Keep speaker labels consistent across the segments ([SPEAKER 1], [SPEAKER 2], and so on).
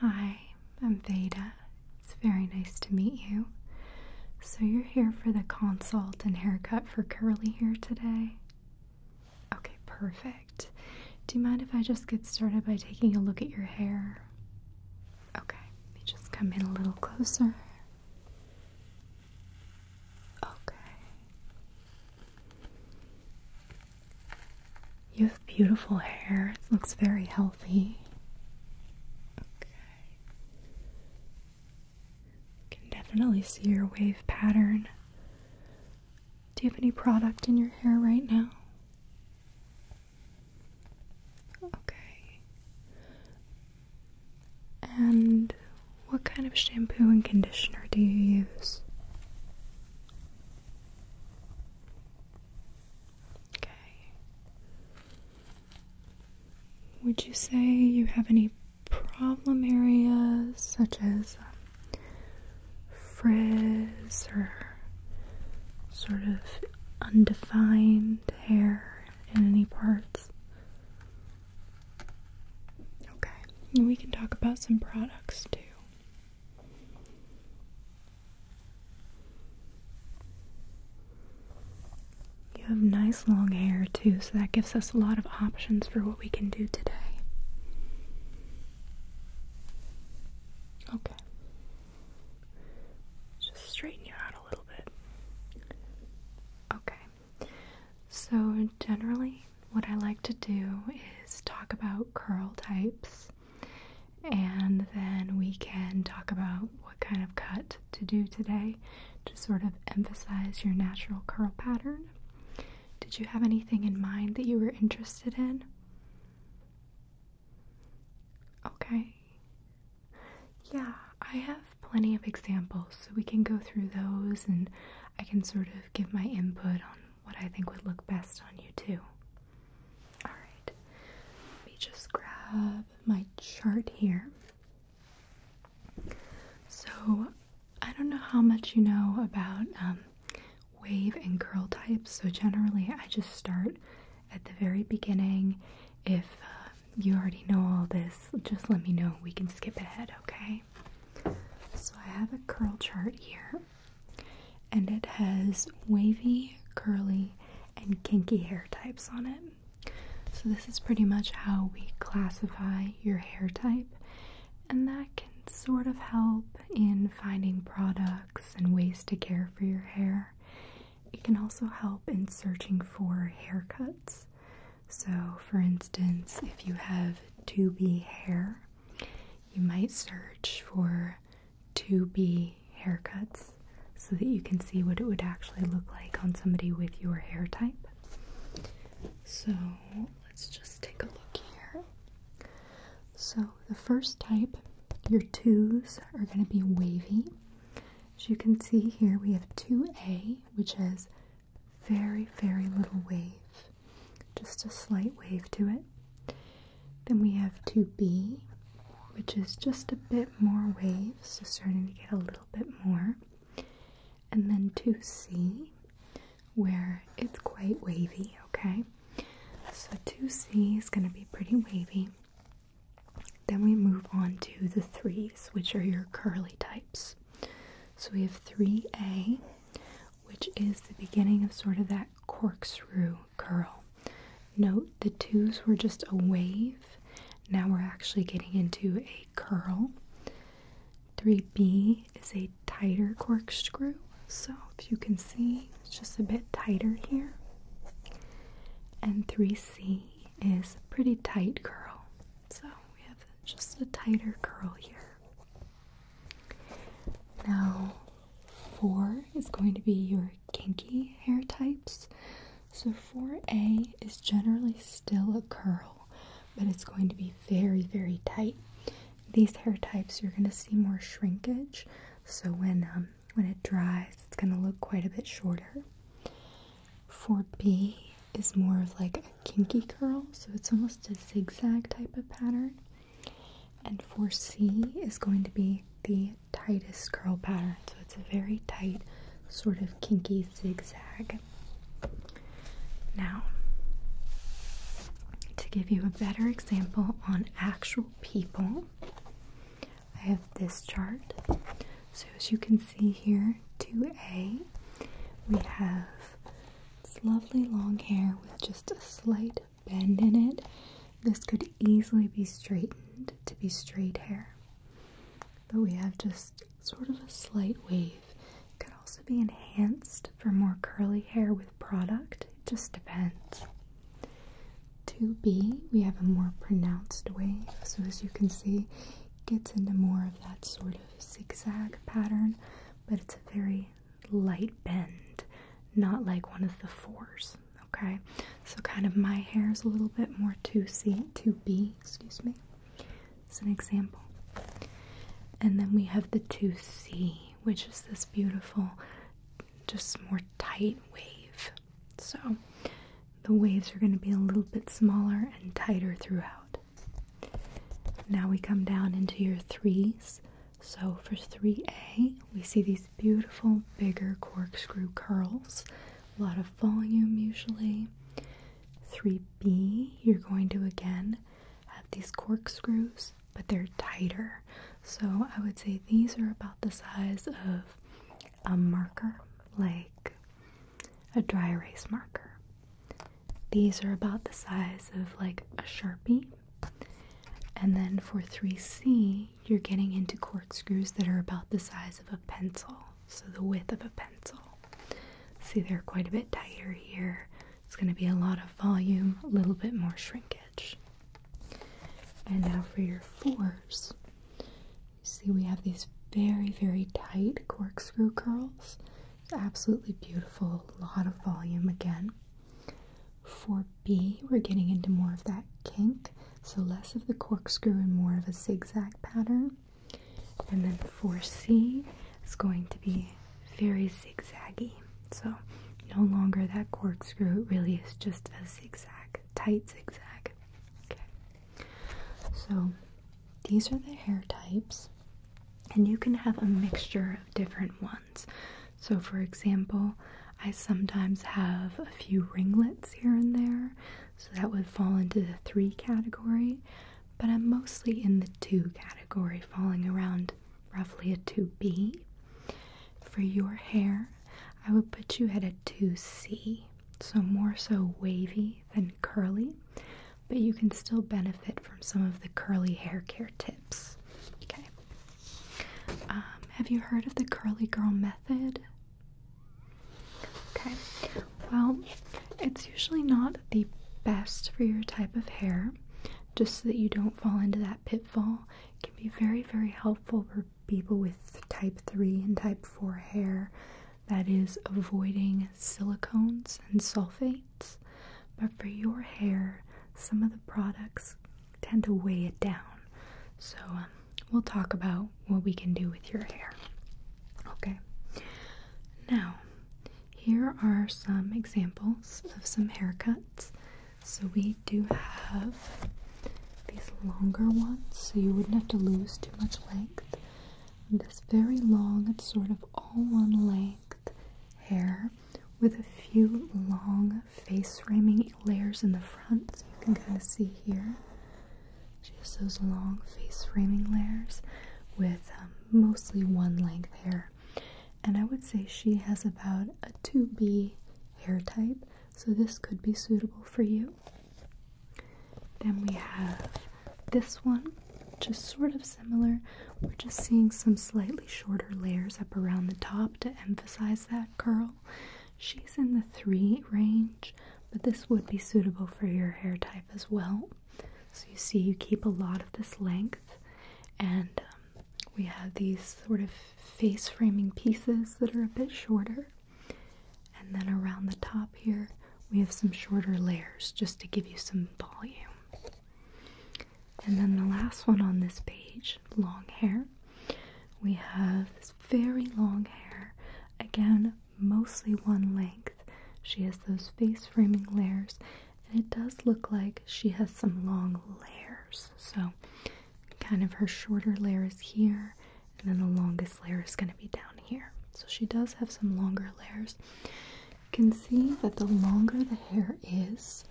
[SPEAKER 1] Hi, I'm Veda. It's very nice to meet you. So, you're here for the consult and haircut for curly here today? Okay, perfect. Do you mind if I just get started by taking a look at your hair? Okay, just come in a little closer. Okay. You have beautiful hair. It looks very healthy. Okay. Can definitely see your wave pattern. Do you have any product in your hair right now? Okay. And what kind of shampoo and conditioner do you use? Okay. Would you say you have any problem areas such as um, frizz or sort of undefined hair in any parts? Okay, and we can talk about some products too. You have nice long hair too, so that gives us a lot of options for what we can do today. Okay. Just straighten you out a little bit. Okay. So, generally, what I like to do is talk about curl types and then we can talk about what kind of cut to do today to sort of emphasize your natural curl pattern. Did you have anything in mind that you were interested in? Okay. Yeah, I have plenty of examples, so we can go through those and I can sort of give my input on what I think would look best on you, too. Alright, let me just grab my chart here. So, I don't know how much you know about um, wave and curl types, so generally I just start at the very beginning. If uh, you already know all this, just let me know. We can skip ahead, okay? So, I have a curl chart here and it has wavy, curly, and kinky hair types on it. So, this is pretty much how we classify your hair type, and that can sort of help in finding products and ways to care for your hair. It can also help in searching for haircuts. So, for instance, if you have 2B hair, you might search for 2B haircuts so that you can see what it would actually look like on somebody with your hair type. So let's just take a look here. So the first type, your twos are going to be wavy. As you can see here, we have 2A, which has very, very little wave just a slight wave to it. Then we have 2B, which is just a bit more waves, so starting to get a little bit more. And then 2C, where it's quite wavy, okay? So 2C is going to be pretty wavy. Then we move on to the 3s, which are your curly types. So we have 3A, which is the beginning of sort of that corkscrew curl. Note the twos were just a wave, now we're actually getting into a curl. 3B is a tighter corkscrew, so if you can see, it's just a bit tighter here. And 3C is a pretty tight curl, so we have just a tighter curl here. Now, four is going to be your kinky hair types. So, 4A is generally still a curl, but it's going to be very, very tight. These hair types, you're going to see more shrinkage. So, when, um, when it dries, it's going to look quite a bit shorter. 4B is more of like a kinky curl, so it's almost a zigzag type of pattern. And for C is going to be the tightest curl pattern. So it's a very tight, sort of kinky zigzag. Now, to give you a better example on actual people, I have this chart. So as you can see here, 2A, we have it's lovely long hair with just a slight bend in it. This could easily be straightened to be straight hair. But we have just sort of a slight wave. could also be enhanced for more curly hair with product. It just depends. To B, we have a more pronounced wave. So as you can see, it gets into more of that sort of zigzag pattern, but it's a very light bend, not like one of the fours. Okay, so kind of my hair is a little bit more 2C, 2B, excuse me. It's an example. And then we have the 2C, which is this beautiful, just more tight wave. So the waves are going to be a little bit smaller and tighter throughout. Now we come down into your 3s, so for 3A, we see these beautiful bigger corkscrew curls, a lot of volume usually. 3B, you're going to again have these corkscrews, but they're tighter. So I would say these are about the size of a marker, like a dry erase marker. These are about the size of like a Sharpie. And then for 3C, you're getting into corkscrews that are about the size of a pencil, so the width of a pencil. See, they're quite a bit tighter here. It's going to be a lot of volume, a little bit more shrinkage. And now for your fours. See, we have these very, very tight corkscrew curls absolutely beautiful, a lot of volume again. For B, we're getting into more of that kink, so less of the corkscrew and more of a zigzag pattern. And then for C, it's going to be very zigzaggy, so no longer that corkscrew, it really is just a zigzag, tight zigzag. Okay, so these are the hair types. And you can have a mixture of different ones. So, for example, I sometimes have a few ringlets here and there, so that would fall into the three category, but I'm mostly in the two category, falling around roughly a 2B. For your hair, I would put you at a 2C, so more so wavy than curly but you can still benefit from some of the curly hair care tips. Okay. Um, have you heard of the curly girl method? Okay. Well, it's usually not the best for your type of hair, just so that you don't fall into that pitfall. It can be very, very helpful for people with type 3 and type 4 hair that is avoiding silicones and sulfates, but for your hair, some of the products tend to weigh it down. So, um, we'll talk about what we can do with your hair. Okay, now here are some examples of some haircuts. So, we do have these longer ones, so you wouldn't have to lose too much length. This very long, it's sort of all one length hair with a few long face framing layers in the front. So you can kind of see here. She has those long face framing layers with um, mostly one length hair. And I would say she has about a 2B hair type, so this could be suitable for you. Then we have this one just sort of similar. We're just seeing some slightly shorter layers up around the top to emphasize that curl. She's in the three range, but this would be suitable for your hair type as well. So you see, you keep a lot of this length, and um, we have these sort of face framing pieces that are a bit shorter. And then around the top here, we have some shorter layers just to give you some volume. And then the last one on this page, long hair. We have this very long hair, again, mostly one length. She has those face framing layers, and it does look like she has some long layers. So, kind of her shorter layer is here, and then the longest layer is going to be down here. So, she does have some longer layers. You can see that the longer the hair is,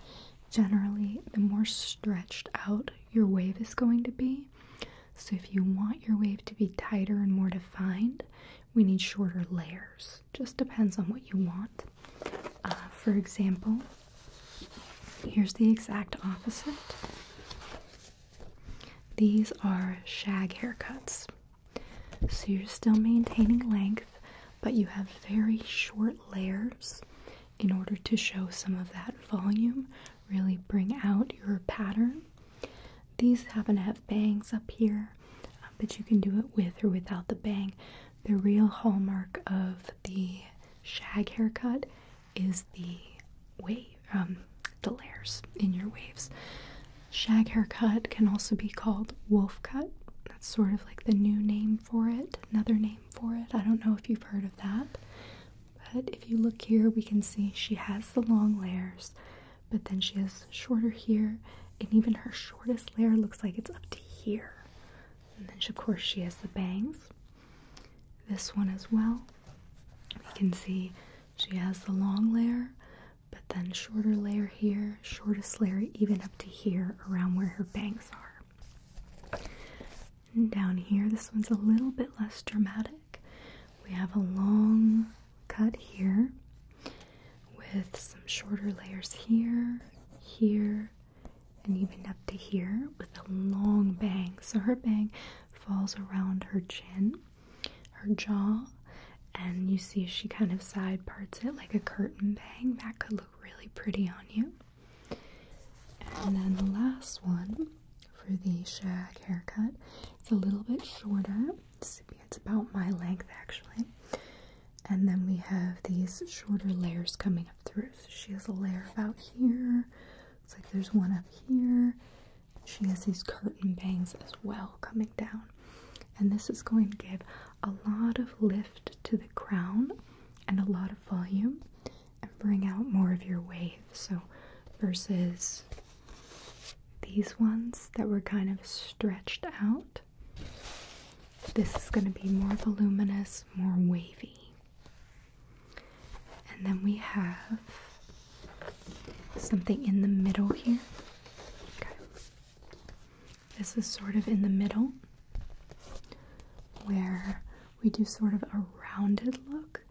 [SPEAKER 1] generally the more stretched out your wave is going to be. So if you want your wave to be tighter and more defined, we need shorter layers. Just depends on what you want. Uh, for example, here's the exact opposite. These are shag haircuts. So you're still maintaining length, but you have very short layers in order to show some of that volume, really bring out your pattern. These happen to have bangs up here, uh, but you can do it with or without the bang. The real hallmark of the shag haircut is the wave, um, the layers in your waves. Shag haircut can also be called wolf cut. That's sort of like the new name for it, another name for it. I don't know if you've heard of that. But if you look here, we can see she has the long layers, but then she has shorter here, and even her shortest layer looks like it's up to here. And then, of course, she has the bangs. This one as well. We can see she has the long layer, but then shorter layer here, shortest layer even up to here around where her bangs are. And down here, this one's a little bit less dramatic. We have a long cut here with some shorter layers here, here, and even up to here with a long bang. So her bang falls around her chin, her jaw, and you see she kind of side parts it like a curtain bang. That could look really pretty on you. And then the last one for the shag haircut, it's a little bit shorter. It's, about my length actually. And then we have these shorter layers coming up through. So she has a layer about here. It's like there's one up here. She has these curtain bangs as well coming down and this is going to give a lot of lift to the crown and a lot of volume and bring out more of your wave. So, versus these ones that were kind of stretched out, this is going to be more voluminous, more wavy. And then we have something in the middle here. This is sort of in the middle where we do sort of a rounded look,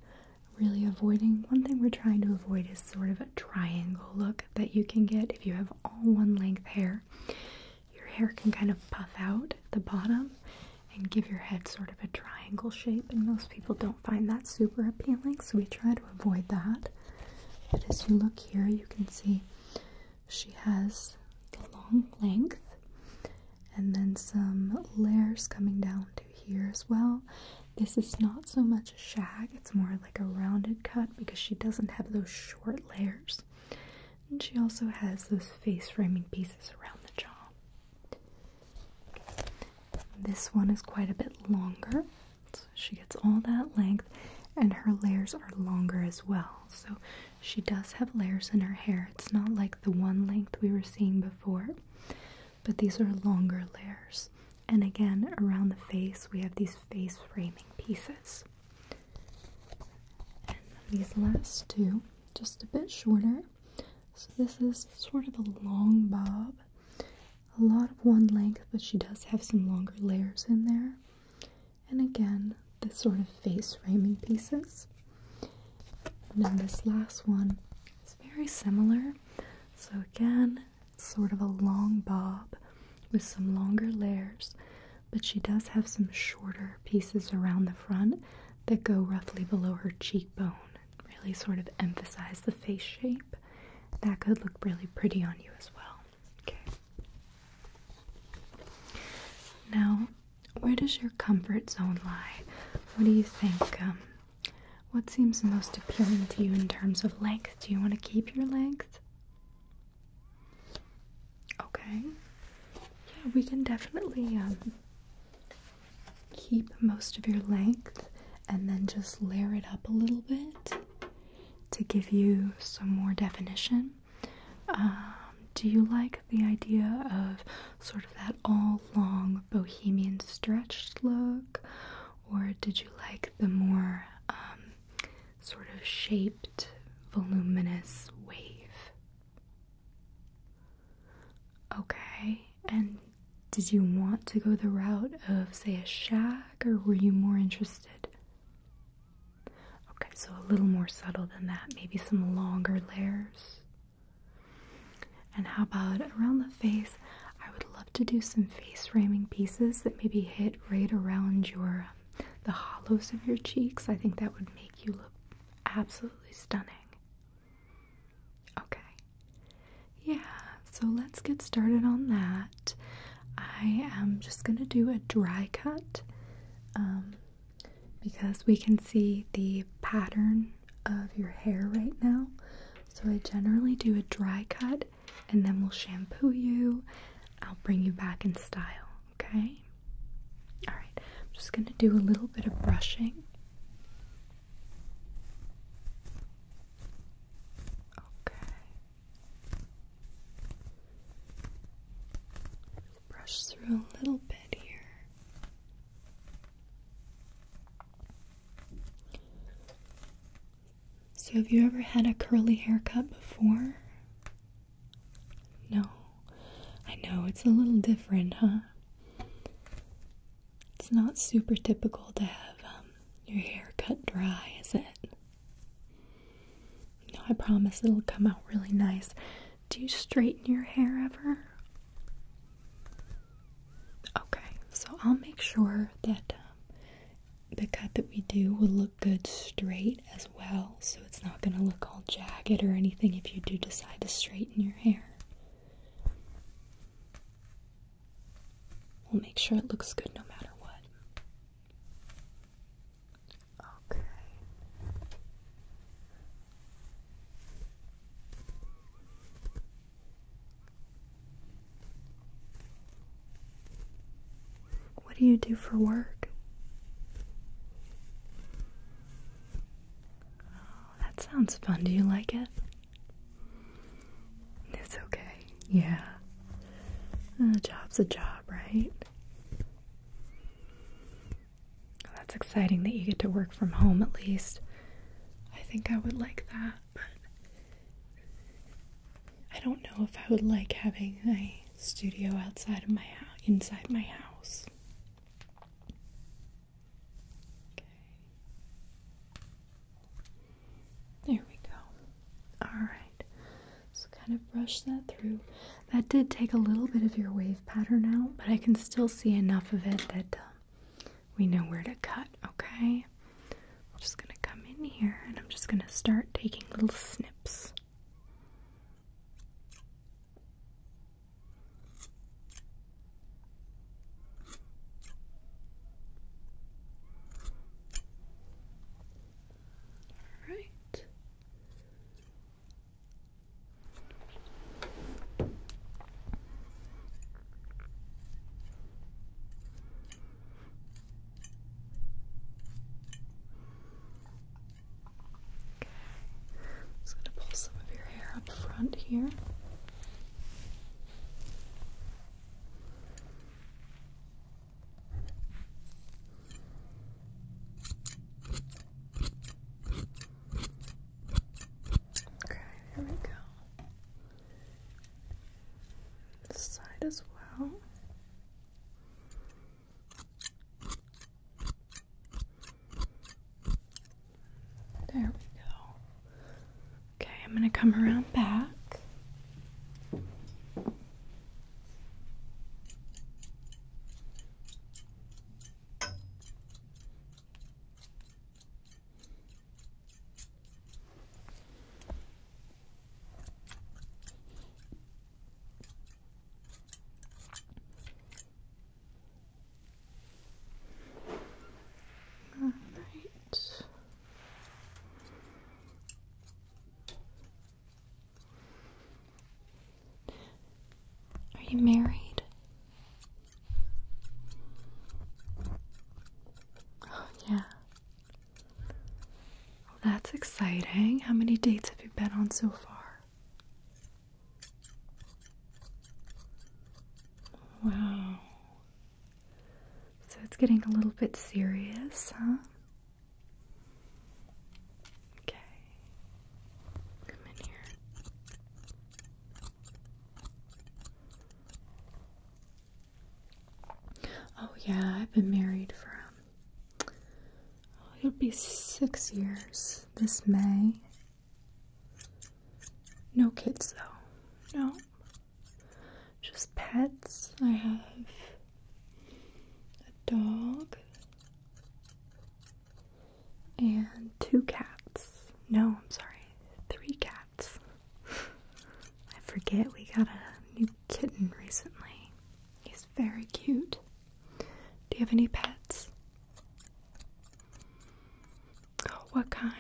[SPEAKER 1] really avoiding one thing we're trying to avoid is sort of a triangle look that you can get if you have all one length hair. Your hair can kind of puff out at the bottom and give your head sort of a triangle shape, and most people don't find that super appealing, so we try to avoid that that. But as you look here, you can see she has the long length and then some layers coming down to here as well. This is not so much a shag, it's more like a rounded cut because she doesn't have those short layers. And she also has those face framing pieces around the jaw. This one is quite a bit longer she gets all that length and her layers are longer as well. So she does have layers in her hair. It's not like the one length we were seeing before, but these are longer layers. And again, around the face, we have these face framing pieces. And these last two, just a bit shorter. So this is sort of a long bob a lot of one length, but she does have some longer layers in there. And again, the sort of face framing pieces. And then this last one is very similar. So again, sort of a long bob with some longer layers, but she does have some shorter pieces around the front that go roughly below her cheekbone, really sort of emphasize the face shape. That could look really pretty on you as well. Okay. Now, where does your comfort zone lie? What do you think? Um, what seems most appealing to you in terms of length? Do you want to keep your length? Okay. Yeah, we can definitely um, keep most of your length and then just layer it up a little bit to give you some more definition. Um, do you like the idea of sort of that all long bohemian stretched look, or did you like the more um, sort of shaped, voluminous wave? Okay, and did you want to go the route of, say, a shaft? or were you more interested? Okay, so a little more subtle than that, maybe some longer layers. And how about around the face? I would love to do some face framing pieces that maybe hit right around your um, the hollows of your cheeks. I think that would make you look absolutely stunning. Okay. Yeah, so let's get started on that. I am just going to do a dry cut um, because we can see the pattern of your hair right now. So I generally do a dry cut and then we'll shampoo you. I'll bring you back in style, okay? Alright, I'm just going to do a little bit of brushing. Okay. Brush through a little bit here. So, have you ever had a curly haircut before? No. I know, it's a little different, huh? It's not super typical to have um, your hair cut dry, is it? No, I promise it'll come out really nice. Do you straighten your hair ever? Okay, so I'll make sure that um, the cut that we do will look good straight as well, so it's not going to look all jagged or anything if you do decide to straighten your hair. We'll make sure it looks good no matter what. Okay. What do you do for work? Oh, that sounds fun. Do you like it? It's okay. Yeah. A uh, job's a job, right? that's exciting that you get to work from home at least. I think I would like that, but I don't know if I would like having a studio outside of my house, inside my house. Okay. There we go. Alright. So kind of brush that through. That did take a little bit of your wave pattern out, but I can still see enough of it that um, we know where to cut, okay? I'm just going to come in here and I'm just going to start taking little snips. All right. Okay. Just going to pull some of your hair up front here. Okay, here we go. This side as well. There we go. Okay, I'm going to come around back. All right. Are you married? yeah. that's exciting. How many dates have you been on so far? Wow. So it's getting a little bit serious, huh? Okay. Come in here. Oh, yeah, I've been married for, um, oh, it'll be six years this May. No kids, though. No, just pets. I have a dog and two cats. No, I'm sorry, three cats. I forget we got a new kitten recently. He's very cute. Do you have any pets? Oh, what kind?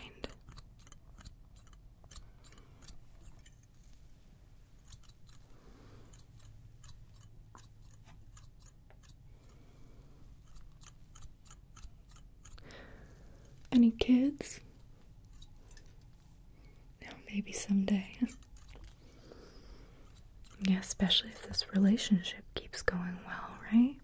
[SPEAKER 1] Any kids? No, maybe someday. yeah, especially if this relationship keeps going well, right?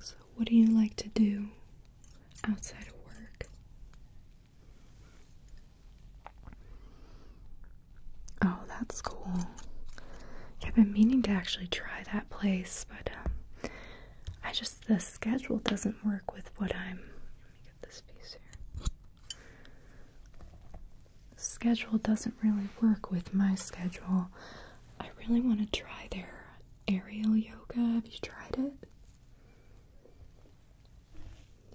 [SPEAKER 1] So, what do you like to do outside of work? Oh, that's cool. I've been meaning to actually try that place, but um, I just the schedule doesn't work with what I'm. Let me get this piece here schedule doesn't really work with my schedule. I really want to try their aerial yoga. Have you tried it?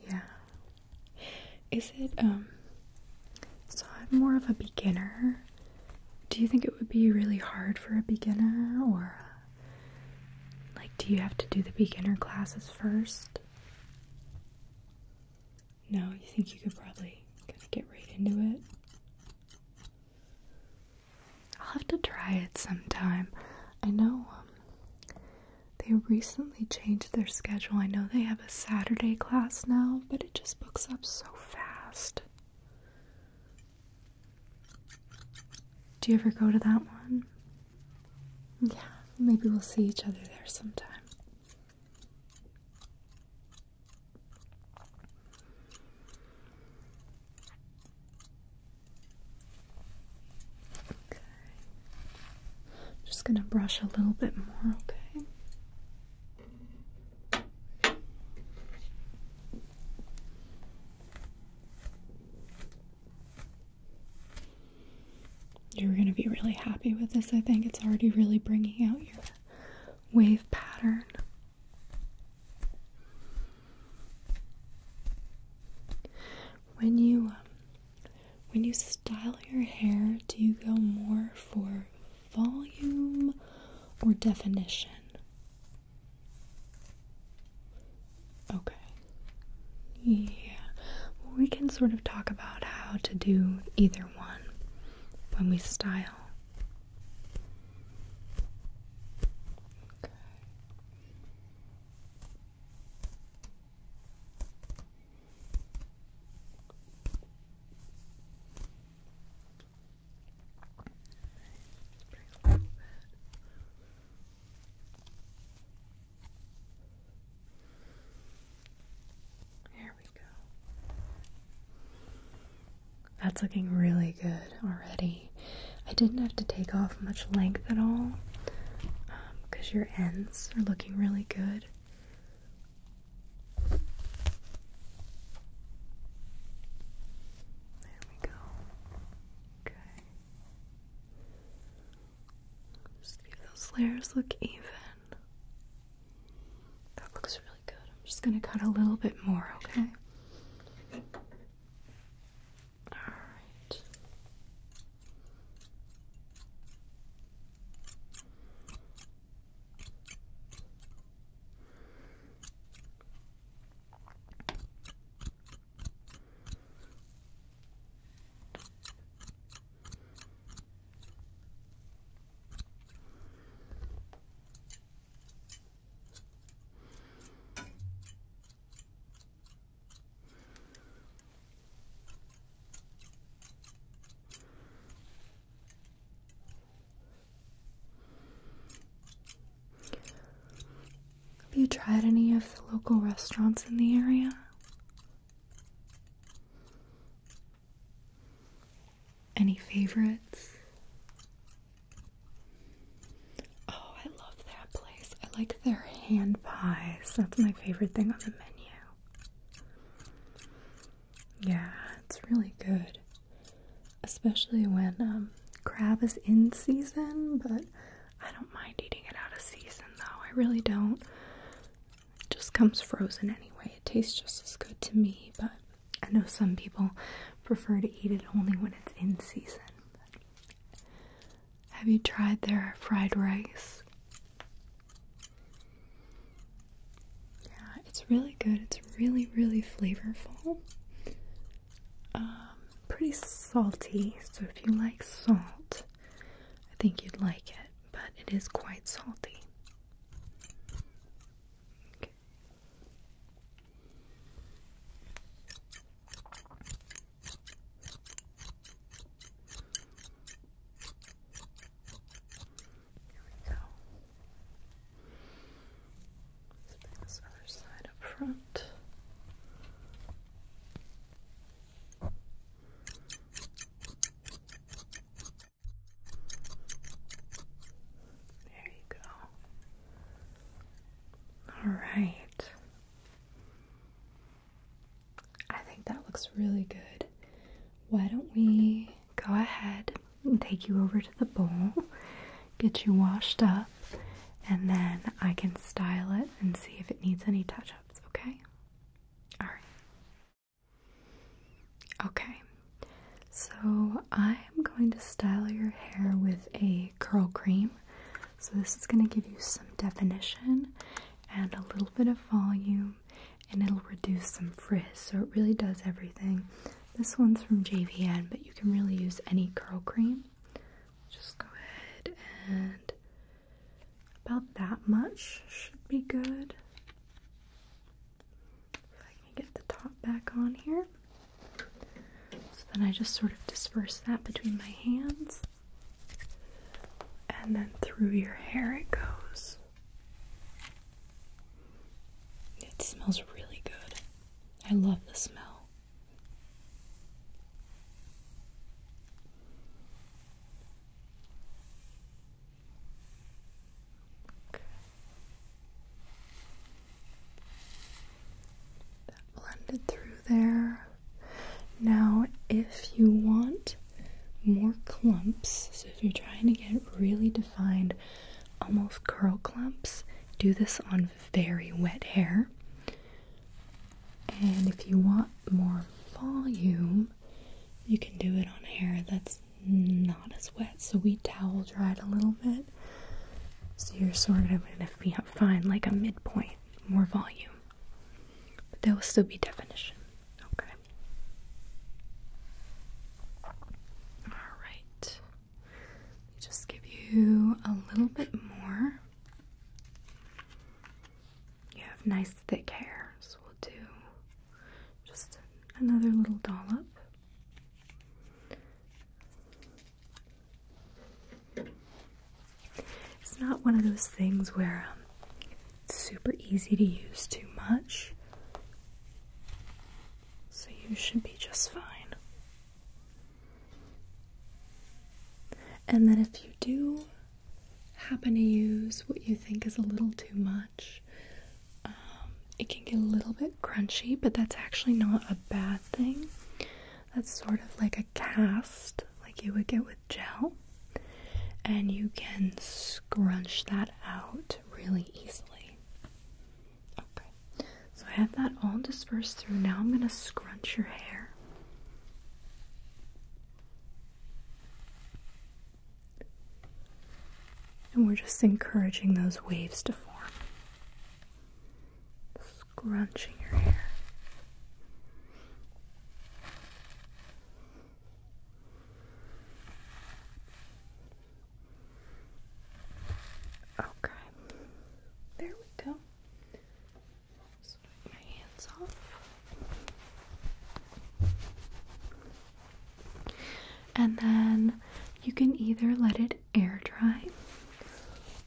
[SPEAKER 1] Yeah. Is it, um, so I'm more of a beginner. Do you think it would be really hard for a beginner or, uh, like, do you have to do the beginner classes first? No, you think you could probably get right into it? I'll have to try it sometime. I know um, they recently changed their schedule. I know they have a Saturday class now, but it just books up so fast. Do you ever go to that one? Yeah, maybe we'll see each other there sometime. Okay. Just going to brush a little bit more, okay? Okay. You're going to be really happy with this. I think it's already really bringing out your wave pattern. When you um, when you style your hair, do you go more for volume or definition? Okay. Yeah, we can sort of talk about how to do either one when we style. There we go. That's looking really good already. I didn't have to take off much length at all because um, your ends are looking really good. There we go. Okay. Just give those layers look even. That looks really good. I'm just gonna cut a little bit more, okay? Alright. Have you tried any of the local restaurants in the area? Any favorites? Oh, I love that place. I like their hand pies. That's my favorite thing on the menu. Yeah, it's really good. Especially when um, crab is in season, but I don't mind eating it out of season though. I really don't. It just comes frozen anyway. It tastes just as good to me, but I know some people prefer to eat it only when it's in season. have you tried their fried rice? Yeah, it's really good. It's really, really flavorful. Um, pretty salty, so if you like salt, I think you'd like it but it is quite salty. Here we go. this other side up front. There you go. All right. I think that looks really good. Why don't we go ahead and take you over to the bowl, get you washed up, and then I can style it and see if it needs any touch ups, okay? All right. Okay. So I'm going to style your hair with a curl cream. So this is going to give you some definition and a little bit of volume and it'll reduce some frizz. So it really does everything. This one's from JVN, but you can really use any curl cream. Just go ahead and about that much should be good. If I can get the top back on here. So then I just sort of disperse that between my hands. And then through your hair it goes. It smells really good.
[SPEAKER 2] I love the smell
[SPEAKER 1] blended through there. Now, if you want more clumps, so if you're trying to get really defined, almost curl clumps, do this on very wet hair. And if you want more volume, you can do it on hair that's not as wet. So we towel dried a little bit. So you're sort of going to find like a midpoint, more volume. But there will still be definition. Okay. Alright. Just give you a little bit more. You have nice thick hair, so we'll do just another little dollop. It's not one of those things where um, it's super easy to use too much, so you should be just fine. And then if you do happen to use what you think is a little too much. Um, it can get a little bit crunchy, but that's actually not a bad thing. That's sort of like a cast, like you would get with gel, and you can scrunch that out really easily. Okay, so I have that all dispersed through. Now I'm going to scrunch your hair. And we're just encouraging those waves to form. Scrunching your hair. Okay. There we go. And then you can either let it air dry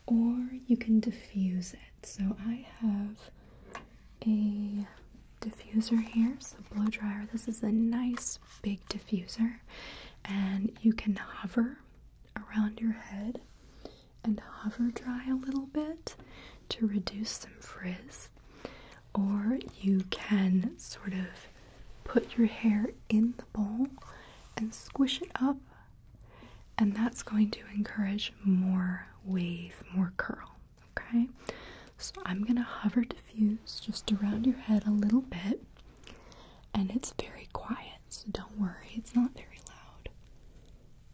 [SPEAKER 1] or you can diffuse it. So I have a diffuser here, so blow dryer. This is a nice big diffuser and you can hover around your head and hover dry a little bit to reduce some frizz, or you can sort of put your hair in the bowl and squish it up, and that's going to encourage more wave, more curl. Okay, so I'm gonna hover diffuse just around your head a little bit, and it's very quiet, so don't worry, it's not very loud.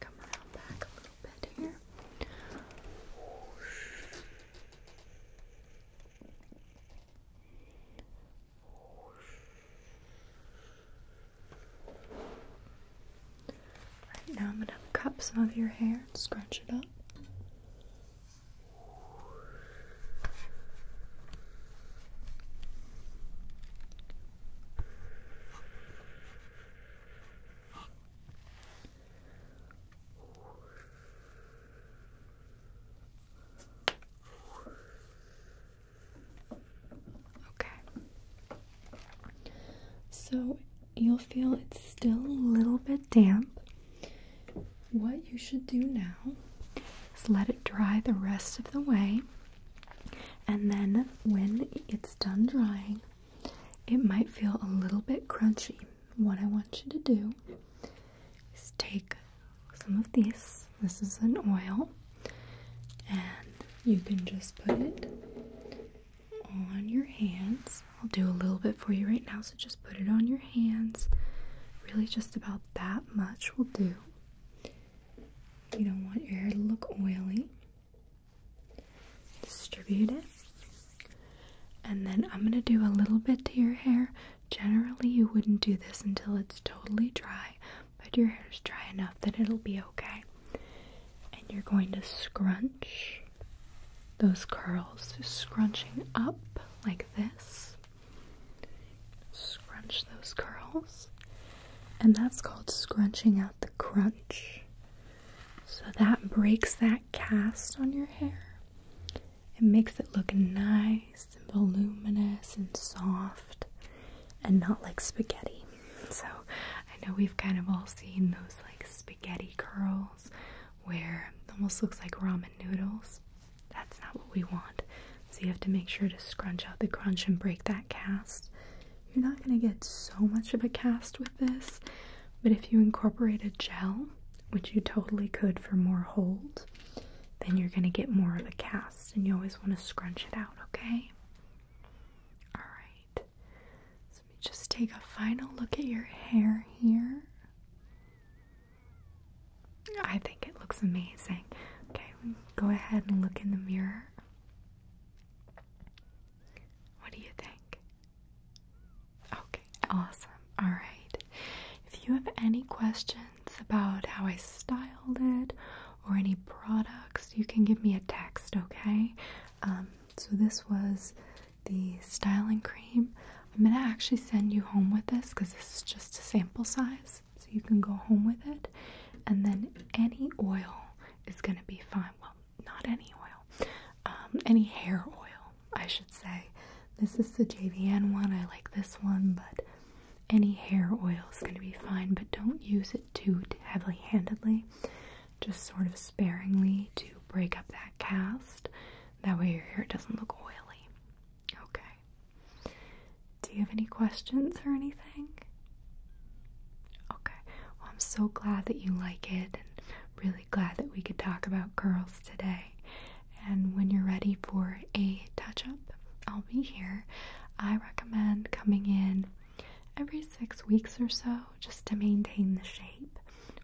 [SPEAKER 1] Come around back a little bit here now, I'm going to cut some of your hair and scratch it up. Okay. So you'll feel it's still a little bit damp. What you should do now is let it dry the rest of the way. And then when it's done drying, it might feel a little bit crunchy. What I want you to do is take some of these. This is an oil, and you can just put it on your hands. I'll do a little bit for you right now, so just put it on your hands. Really, just about that much will do. You don't want your hair to look oily. Distribute it. And then I'm going to do a little bit to your hair Generally, you wouldn't do this until it's totally dry, but your hair's dry enough that it'll be okay. And you're going to scrunch those curls, scrunching up like this. Scrunch those curls, and that's called scrunching out the crunch. So that breaks that cast on your hair it makes it look nice and voluminous and soft and not like spaghetti. So I know we've kind of all seen those like spaghetti curls where almost looks like ramen noodles. That's not what we want. So you have to make sure to scrunch out the crunch and break that cast. You're not going to get so much of a cast with this, but if you incorporate a gel, which you totally could for more hold, then you're going to get more of a cast and you always want to scrunch it out, okay? Alright, let me just take a final look at your hair here. I think it looks amazing. Okay, go ahead and look in the mirror. What do you think? Okay, awesome. All right. If you have any questions about how I styled it or any products, you can give me a text, okay? Um, so, this was the styling cream. I'm gonna actually send you home with this because this is just a sample size, so you can go home with it. And then any oil is gonna be fine. Well, not any oil, um, any hair oil, I should say. This is the JVN one. I like this one, but any hair oil is going to be fine, but don't use it too heavily handedly. Just sort of sparingly to break up that cast. That way your hair doesn't look oily. Okay. Do you have any questions or anything? Okay. Well, I'm so glad that you like it and really glad that we could talk about curls today. And when you're ready for a touch up, I'll be here. I recommend coming in every six weeks or so just to maintain the shape.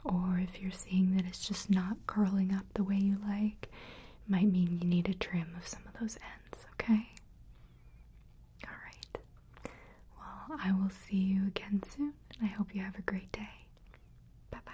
[SPEAKER 1] Or if you're seeing that it's just not curling up the way you like, might mean you need a trim of some of those ends, okay? Alright. Well, I will see you again soon, and I hope you have a great day. Bye bye.